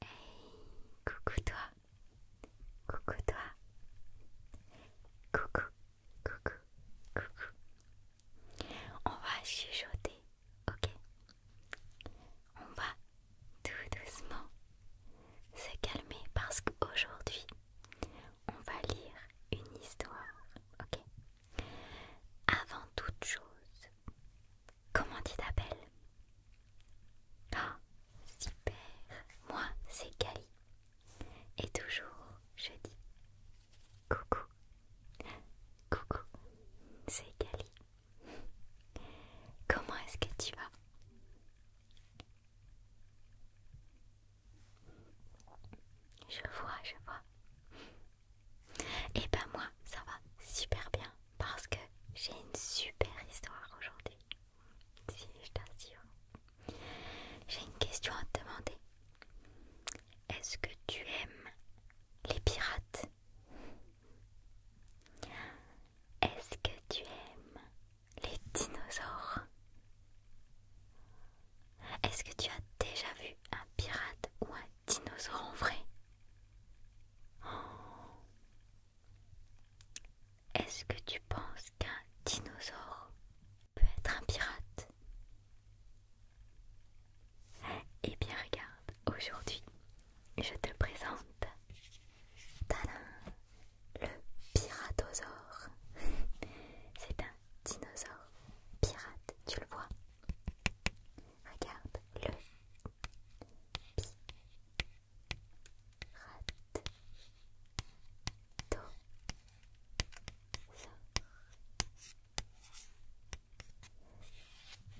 Hey, coucou toi, coucou toi, coucou, coucou, coucou. On va chuchoter, ok On va tout doucement se calmer parce qu'aujourd'hui, on va lire une histoire, ok Avant toute chose, Comment tu t'appelles Ah, super Moi, c'est Kali Et toujours, je dis coucou. Coucou, c'est Kali, Comment est-ce que tu vas Je vois, je vois. Et eh ben moi, ça va super bien parce que j'ai une super histoire aujourd'hui. Si je t'assure. J'ai une question à te demander. Est-ce que tu aimes les pirates Est-ce que tu aimes les dinosaures Est-ce que tu as déjà vu un pirate ou un dinosaure en vrai oh. Est-ce que tu penses qu'un dinosaure peut être un pirate Eh bien regarde, aujourd'hui je te présente Talin, le piratosaure. C'est un dinosaure pirate, tu le vois Regarde le Rat.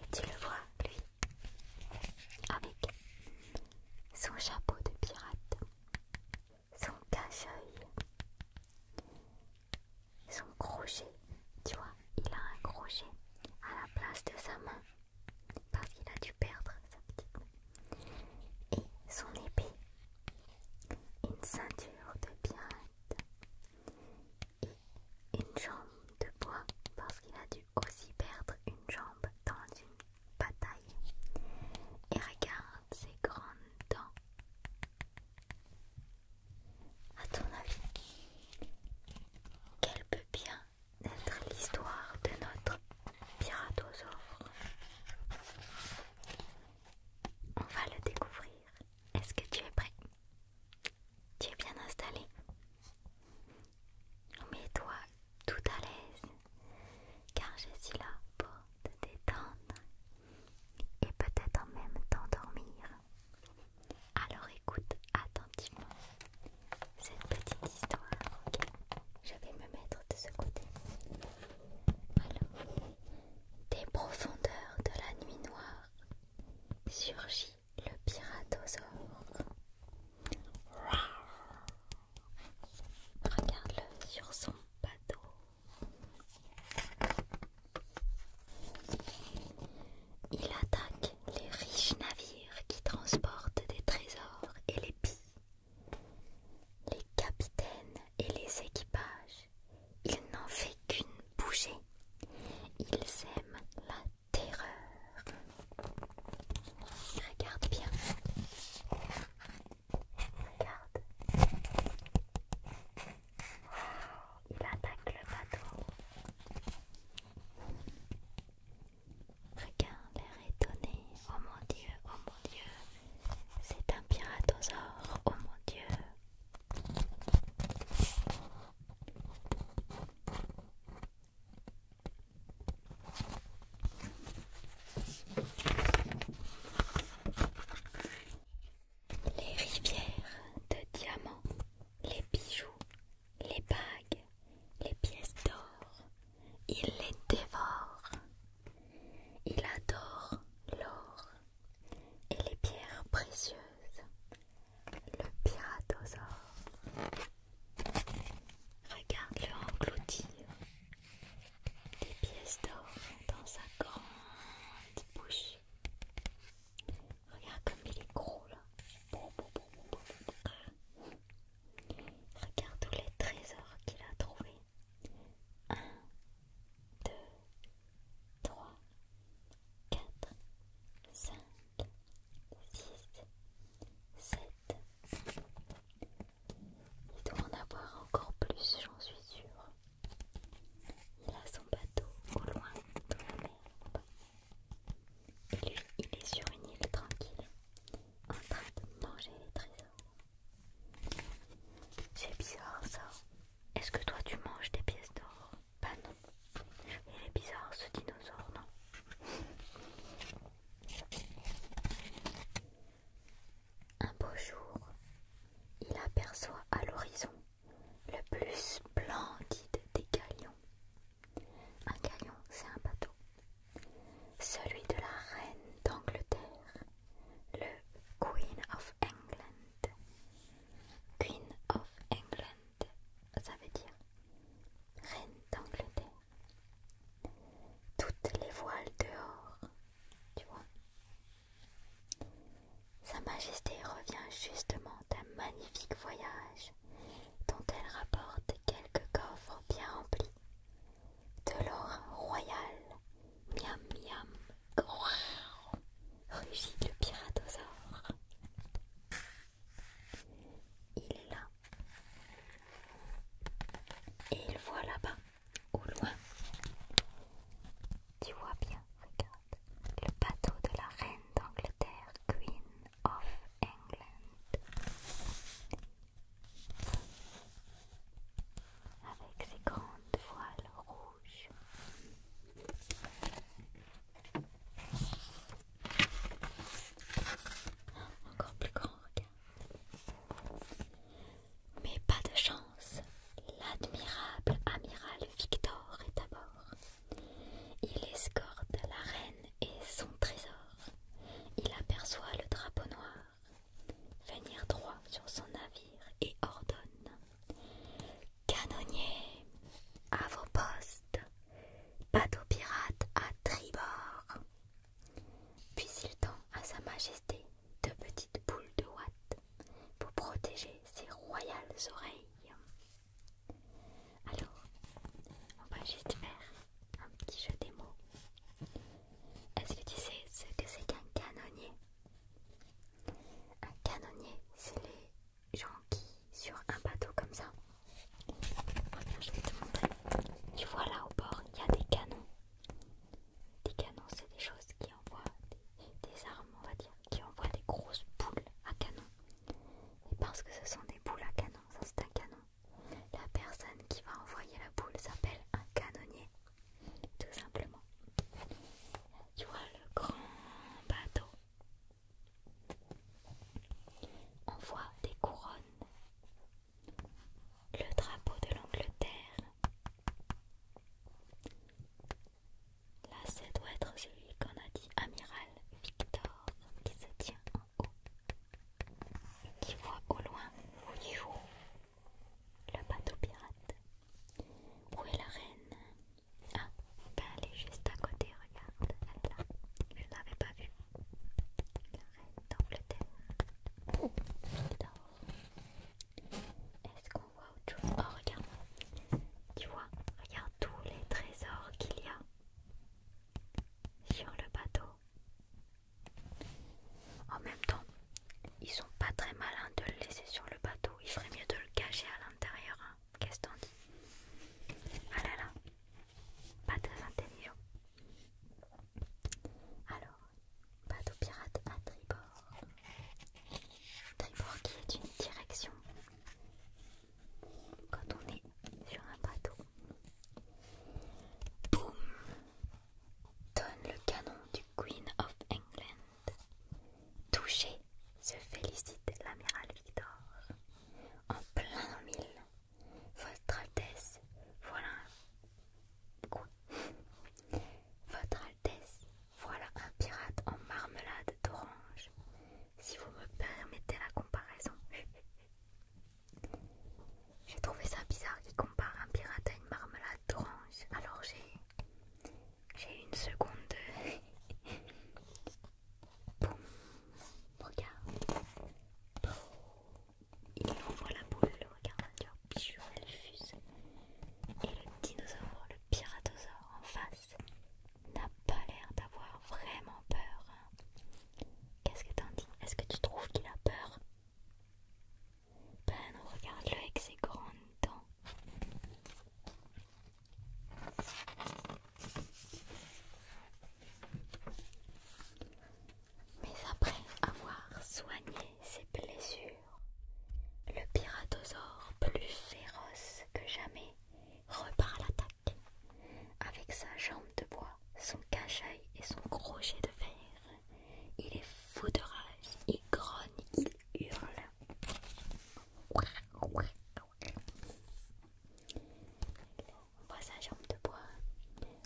Et tu le vois, lui, avec son chapeau de pirate, son cache-œil, son crochet. Tu vois, il a un crochet à la place de sa main parce qu'il a dû perdre sa petite main. Et son épée, une ceinture de bien-être et une jambe de bois parce qu'il a dû aussi perdre une jambe dans une bataille. Et regarde ses grandes dents. À ton avis, qu'elle peut bien D'être l'histoire de notre piratosaure. On va le découvrir. Est-ce que tu es prêt Tu es bien installé Mets-toi tout à l'aise, car je suis là pour te détendre et peut-être en même t'endormir. Alors écoute attentivement cette petite histoire, ok Je vais me mettre de ce côté. des profondeurs de la nuit noire surgit le piratosaure. Regarde-le sur son bateau. Il attaque les riches navires qui transportent des trésors et les pis. Les capitaines et les équipages, il n'en fait qu'une bougée, Ils aiment la terreur. Regarde bien. Regarde. Il attaque le bateau. Regarde l'air étonné. Oh mon dieu, oh mon dieu. C'est un piratosaure. Oh mon dieu. Les rivières de diamants, les bijoux, les bagues, les pièces d'or, il les dévore. Il adore l'or et les pierres précieuses, le piratosaure. Regarde-le engloutir les pièces d'or dans sa grande bouche. Regarde comme il est gros là. Regarde tous les trésors qu'il a trouvé 1, 2, 3, 4, 5, 6, 7. Il doit en avoir encore plus, j'en suis sûre. Il a son bateau au loin dans la mer. Il est, sur une île tranquille, en train de manger les trésors. C'est bizarre ça. Est-ce que toi tu manges des pièces d'or Pas non. Il est bizarre ce dinosaure, non Un beau jour, il aperçoit à l'horizon le plus splendide des galions un caillon, c'est un bateau. Celui de la reine d'Angleterre, le Queen of England. Queen of England, ça veut dire reine d'Angleterre. Toutes les voiles dehors, tu vois. Sa Majesté revient justement d'un magnifique voyage dont elle rapporte quelques coffres bien remplis. De l'or royal, miam miam, rugit le piratosaure. Il est là. Et il voit là-bas, au loin. Tu vois bien, regarde, le bateau de la reine d'Angleterre. Queen of England. Avec ses grandes voiles rouges. Encore plus grand, regarde. Mais pas de chance. L'admirable amiral Victor est à bord. Il escorte la reine et son trésor. Il aperçoit le drapeau noir venir droit sur son navire et ordonne Canonniers, à vos postes, bateau pirate à tribord. Puis il tend à Sa Majesté deux petites boules de ouate pour protéger ses royales oreilles. Alors, on va juste faire un petit jeu des mots. Est-ce que tu sais ce que c'est qu'un canonnier Un canonnier, c'est les gens qui, sur un bateau comme ça, je Tu vois là au bord, il y a des canons. Des canons, c'est des choses qui envoient des, des armes, on va dire, qui envoient des grosses boules à canon. Et parce que ce sont des boules à canon, ça c'est un canon. La personne qui va envoyer la boule s'appelle un canonnier, tout simplement. Tu vois le grand bateau On voit des couronnes, le drapeau de l'Angleterre. Là, c'est doit être celui qu'on a dit amiral Victor qui se tient en haut qui voit au loin le bateau pirate. Où est la reine Ah, ben, elle est juste à côté, regarde, elle là. Je ne l'avais pas vu La reine d'Angleterre. Oh, Est-ce qu'on voit autre chose Oh, regarde. Tu vois, regarde tous les trésors qu'il y a sur le bateau. En même temps, ils sont pas très malins de le laisser sur le bateau. Il ferait mieux de le cacher à l'intérieur. Hein. Qu'est-ce t'en dis Ah là là, pas très intelligent. Alors, bateau pirate à tribord. Tribord qui est une direction quand on est sur un bateau. Boum Donne le canon du Queen of England. Touché se félicite l'amiral Victor. En plein mille, votre Altesse, voilà Votre Altesse, voilà un pirate en marmelade d'orange si vous me permettez la comparaison. j'ai trouvé ça bizarre qu'il compare un pirate à une marmelade d'orange. Alors j'ai une seconde de boum. Regarde. Il envoie la boule, regarde, tu elle fuse. Et le dinosaure, le piratosaure en face, n'a pas l'air d'avoir vraiment peur. Hein. Qu'est-ce que t'en dis Est-ce que tu trouves qu'il a peur Ben regarde-le avec ses grandes dents. Mais après avoir soigné ses blessures, le piratosaure, plus féroce que jamais, repart à l'attaque avec sa jambe de bois, son cache et son crochet de fer. Il est fou de rage, il grogne, il hurle. On voit sa jambe de bois,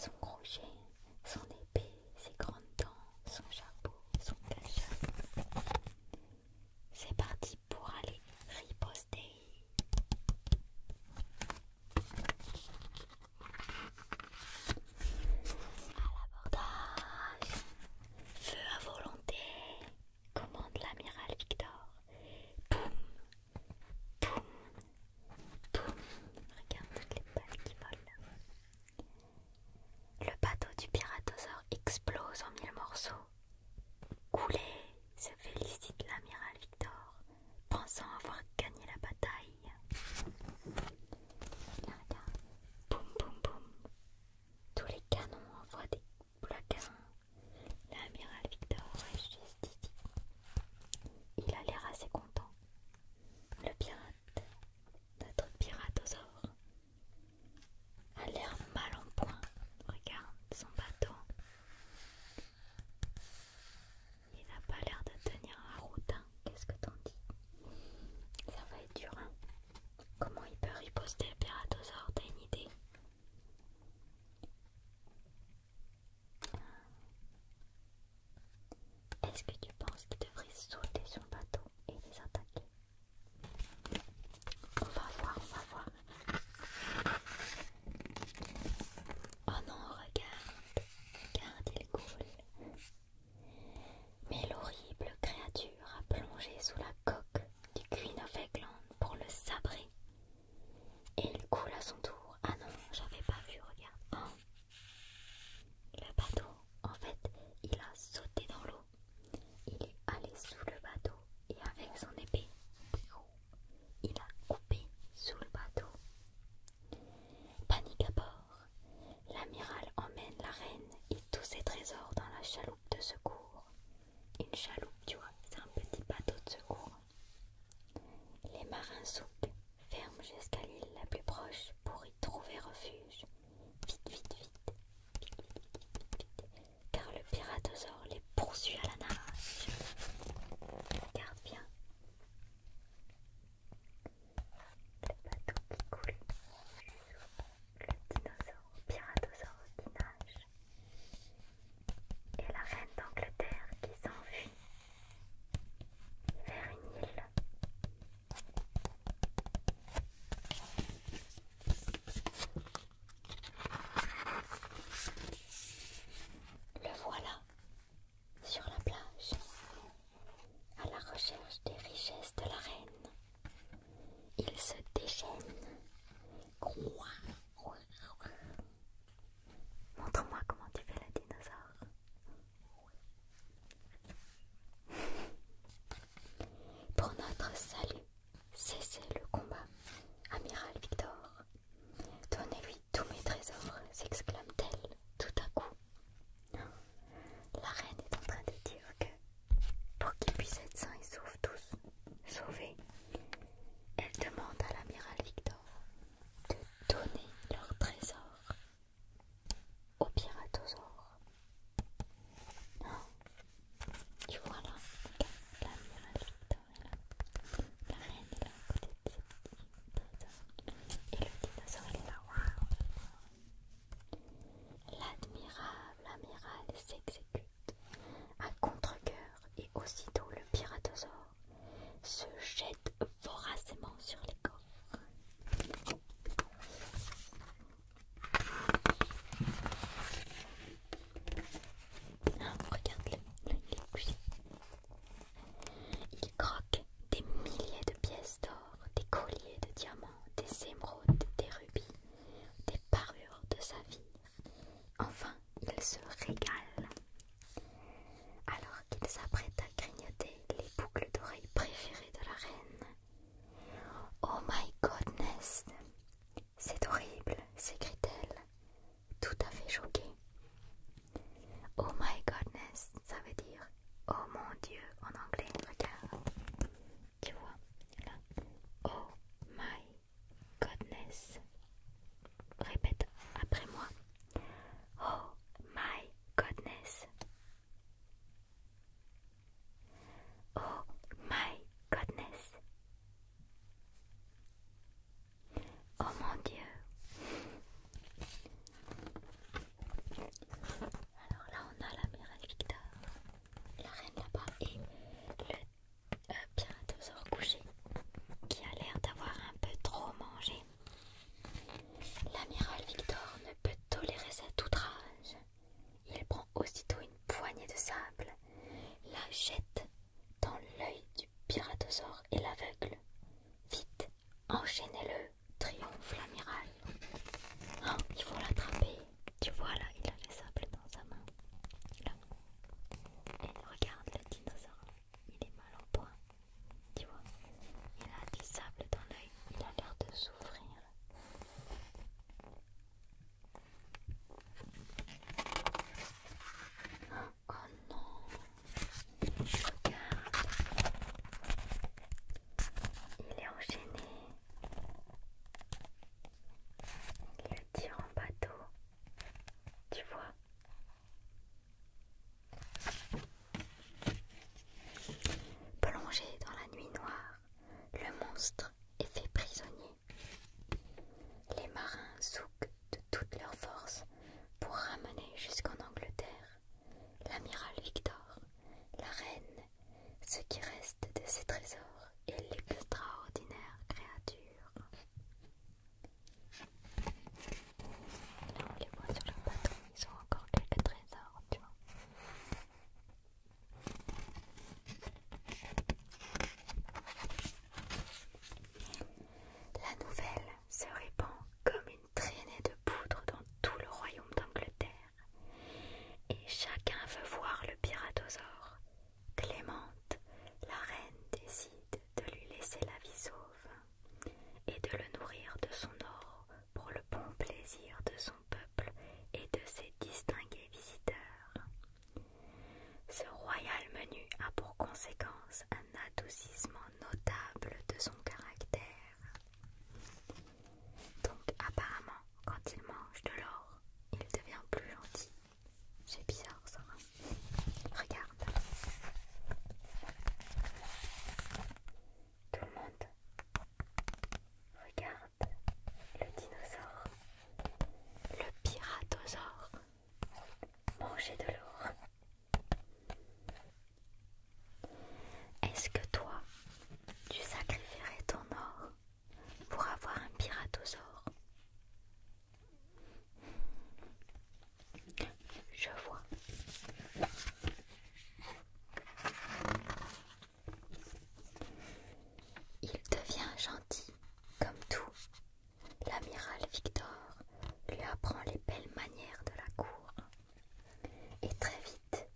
son crochet, son épée, ses grandes dents, son chapeau, son cache c'est parti pour aller riposter. À l'abordage, feu à volonté, commande l'amiral Victor. Boum Boum Boum Regarde toutes les balles qui volent. Le bateau du piratosaur explose en mille morceaux. « Coulez !» se félicite l'amiral Victor, pensant avoir gagné la bataille. boum boum boum. Tous les canons envoient des blaquins. L'amiral Victor est juste Il a l'air assez content. Le pirate, notre ors a l'air mal en point. Regarde son bateau. Il n'a pas l'air de tenir la route. Hein. Qu'est-ce que t'en dis Ça va être dur. Hein. Comment il peut riposter le pératosaure T'as une idée Est-ce que tu penses qu'il devrait sauter sur bateau et les attaquer On va voir, on va voir. Oh non, regarde, regarde, il coule. Mais l'horrible créature a plongé sous la coque du Queen of England pour le sabrer. Et il coule à son tour. Ah non, j'avais pas vu, regarde. Oh. le bateau, en fait, il a sauté dans l'eau. Il est allé sous le bateau et avec son épée, il a coupé sous le bateau. Panique à bord, l'amiral emmène la reine et tous ses trésors dans la chaloupe de secours. Une chaloupe, tu vois, c'est un petit bateau de secours. Les marins sautent. ferment jusqu'à l'île la plus proche pour y trouver refuge. vite, vite, vite car le piratosaure les poursuit à la nage. Regarde bien. Le bateau qui coule. Le dinosaure, le piratosaure qui nage. Et la reine d'Angleterre qui s'enfuit vers une île. Le voilà sur la plage, à la recherche des richesses de la reine. Il se déchaîne. Montre-moi comment tu fais le dinosaure. Pour notre salut, Cessez le combat, amiral Victor. Donnez-lui tous mes trésors, s'exclame-t-elle tout à coup. La reine est en train de dire que pour qu'ils puissent être sains et tous, sauvés, elle demande à l'amiral Victor de donner leurs trésors au piratosaure. Tu vois là, l'amiral Victor est là, la reine est là à côté de et le dinosaure est là, L'admirable amiral s'exécute à contre-coeur et aussitôt le piratosaure se jette voracement sur les corps. Regarde-le, il Il croque des milliers de pièces d'or, des colliers de diamants, des émeraudes, des rubis, des parures de saphir. Enfin, il se régale. Alors qu'il s'apprête à grignoter les boucles d'oreilles préférées de la reine. Oh my goodness! C'est horrible, s'écrie-t-elle, tout à fait choquée. Oh my godness, ça veut dire oh mon dieu en anglais, regarde. Tu vois, là. Oh my godness. Répète après moi. Oh my godness. Oh my godness. Oh mon dieu. Alors là on a l'amiral Victor, la reine là-bas et le aux euh, piratosaure couché qui a l'air d'avoir un peu trop mangé. L'amiral Victor ne peut tolérer cet outrage. Il prend aussitôt une poignée de sable, la jette dans l'œil du piratosaure et l'aveugle. Vite, enchaînez-le, triomphe l'amiral. Oh, il faut l'attraper. Tu vois là, il a le sable dans sa main. Là. regarde le dinosaure, il est mal au point. Tu vois, il a du sable dans l'œil, il a l'air de souffrir. Oh non, regarde, il est enchaîné. Il le tire en bateau, tu vois. Plongé dans la nuit noire, le monstre est fait prisonnier. Les marins souquent de toutes leurs forces pour ramener jusqu'en Angleterre l'amiral Victor, la reine, ce qui reste de ses trésors et l'extraordinaire créature. les sur le ils ont encore quelques trésors, tu vois. La nouvelle se répand comme une traînée de poudre dans tout le royaume d'Angleterre, et chacun veut voir le piratosaure. Clémente, la reine, décide de lui laisser la vie sauve et de le nourrir de son or pour le bon plaisir de son peuple et de ses distingués visiteurs. Ce royal menu a pour conséquence un adoucissement notable de son caractère. Donc apparemment, quand il mange de l'or, il devient plus gentil. C'est bizarre ça. Hein. Regarde. Tout le monde. Regarde le dinosaure. Le piratosaure mangeait de l'or. Est-ce que toi, tu sacrifierais ton or pour avoir un piratosaure Je vois. Il devient gentil, comme tout. L'amiral Victor lui apprend les belles manières de la cour. Et très vite,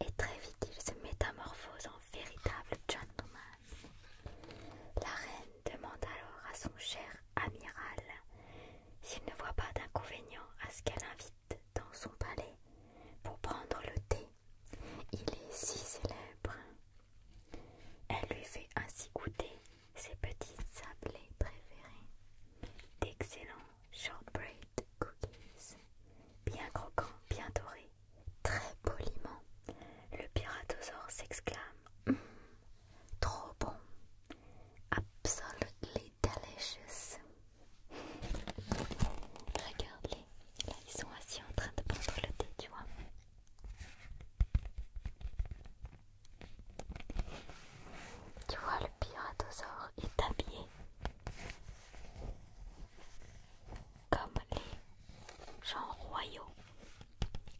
et très vite, il se métamorphose en véritable gentleman. La reine demande alors à son cher amiral s'il ne voit pas d'inconvénient à ce qu'elle invite dans son palais pour prendre le thé il est si célèbre. Elle lui fait ainsi goûter ses petits sablés préférés, d'excellents shortbread cookies, bien croquants, bien dorés, très poliment. Le piratosaure s'exclame hum, Trop bon! Absolutely delicious! Regarde-les. Là, ils sont assis en train de prendre le thé, tu vois. Tu vois, le piratosaure est habillé comme les gens royaux,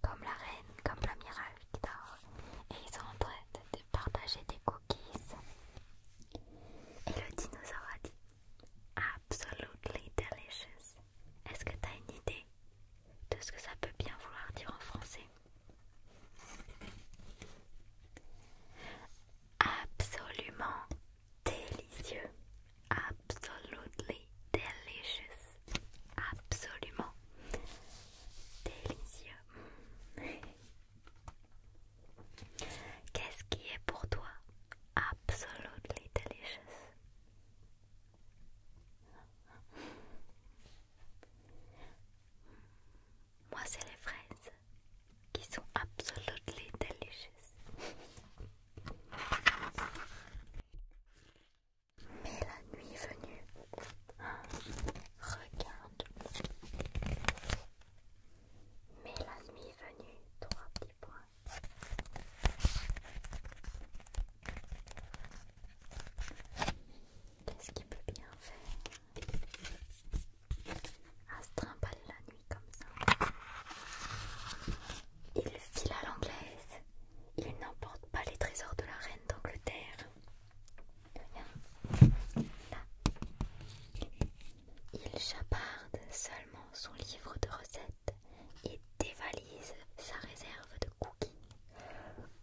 comme la reine, comme l'amiral Victor. Et ils sont en train de partager des cookies. Et le dinosaure a dit Absolutely delicious. Est-ce que as une idée de ce que ça peut bien vouloir dire en français Absolument délicieux. Absolutely delicious. Absolument délicieux. Qu'est-ce qui est pour toi absolument délicieux Moi, c'est les fraises qui sont absolument délicieuses Mais la nuit est venue, regarde. Mais la nuit est venue, trois petits points. Qu'est-ce qu'il peut bien faire à ah, se trimballer la nuit comme ça Il file à l'anglaise. Il n'emporte pas les trésors de la reine d'Angleterre. Là. Il chaparde seulement son livre de recettes et dévalise sa réserve de cookies.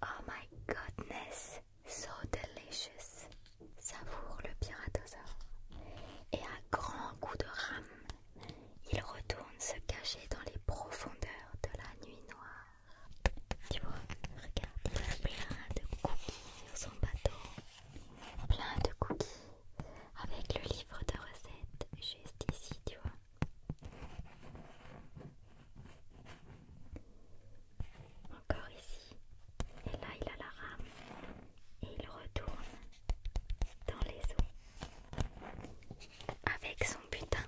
Oh my goodness, so delicious! Savoure le piratosaure. Et à grands coups de rame, il retourne se cacher dans les profondeurs de la nuit noire. Tu vois, regarde, plein de cookies sur son bateau plein de cookies avec le livre de recettes juste ici, tu vois. Encore ici. Et là, il a la rame et il retourne dans les eaux avec son butin.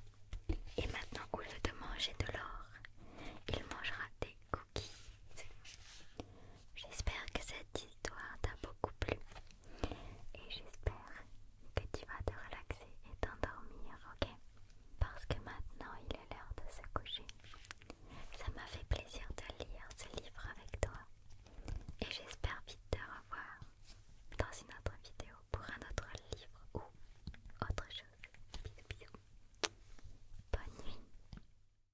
Et maintenant, au lieu de manger de l'or, il mangera des cookies. J'espère que cette histoire t'a beaucoup plu et j'espère que tu vas te relaxer et t'endormir, ok Parce que maintenant il est l'heure de se coucher. Ça m'a fait plaisir de lire ce livre avec toi et j'espère vite te revoir dans une autre vidéo pour un autre livre ou autre chose. Bisous bisous. Bonne nuit.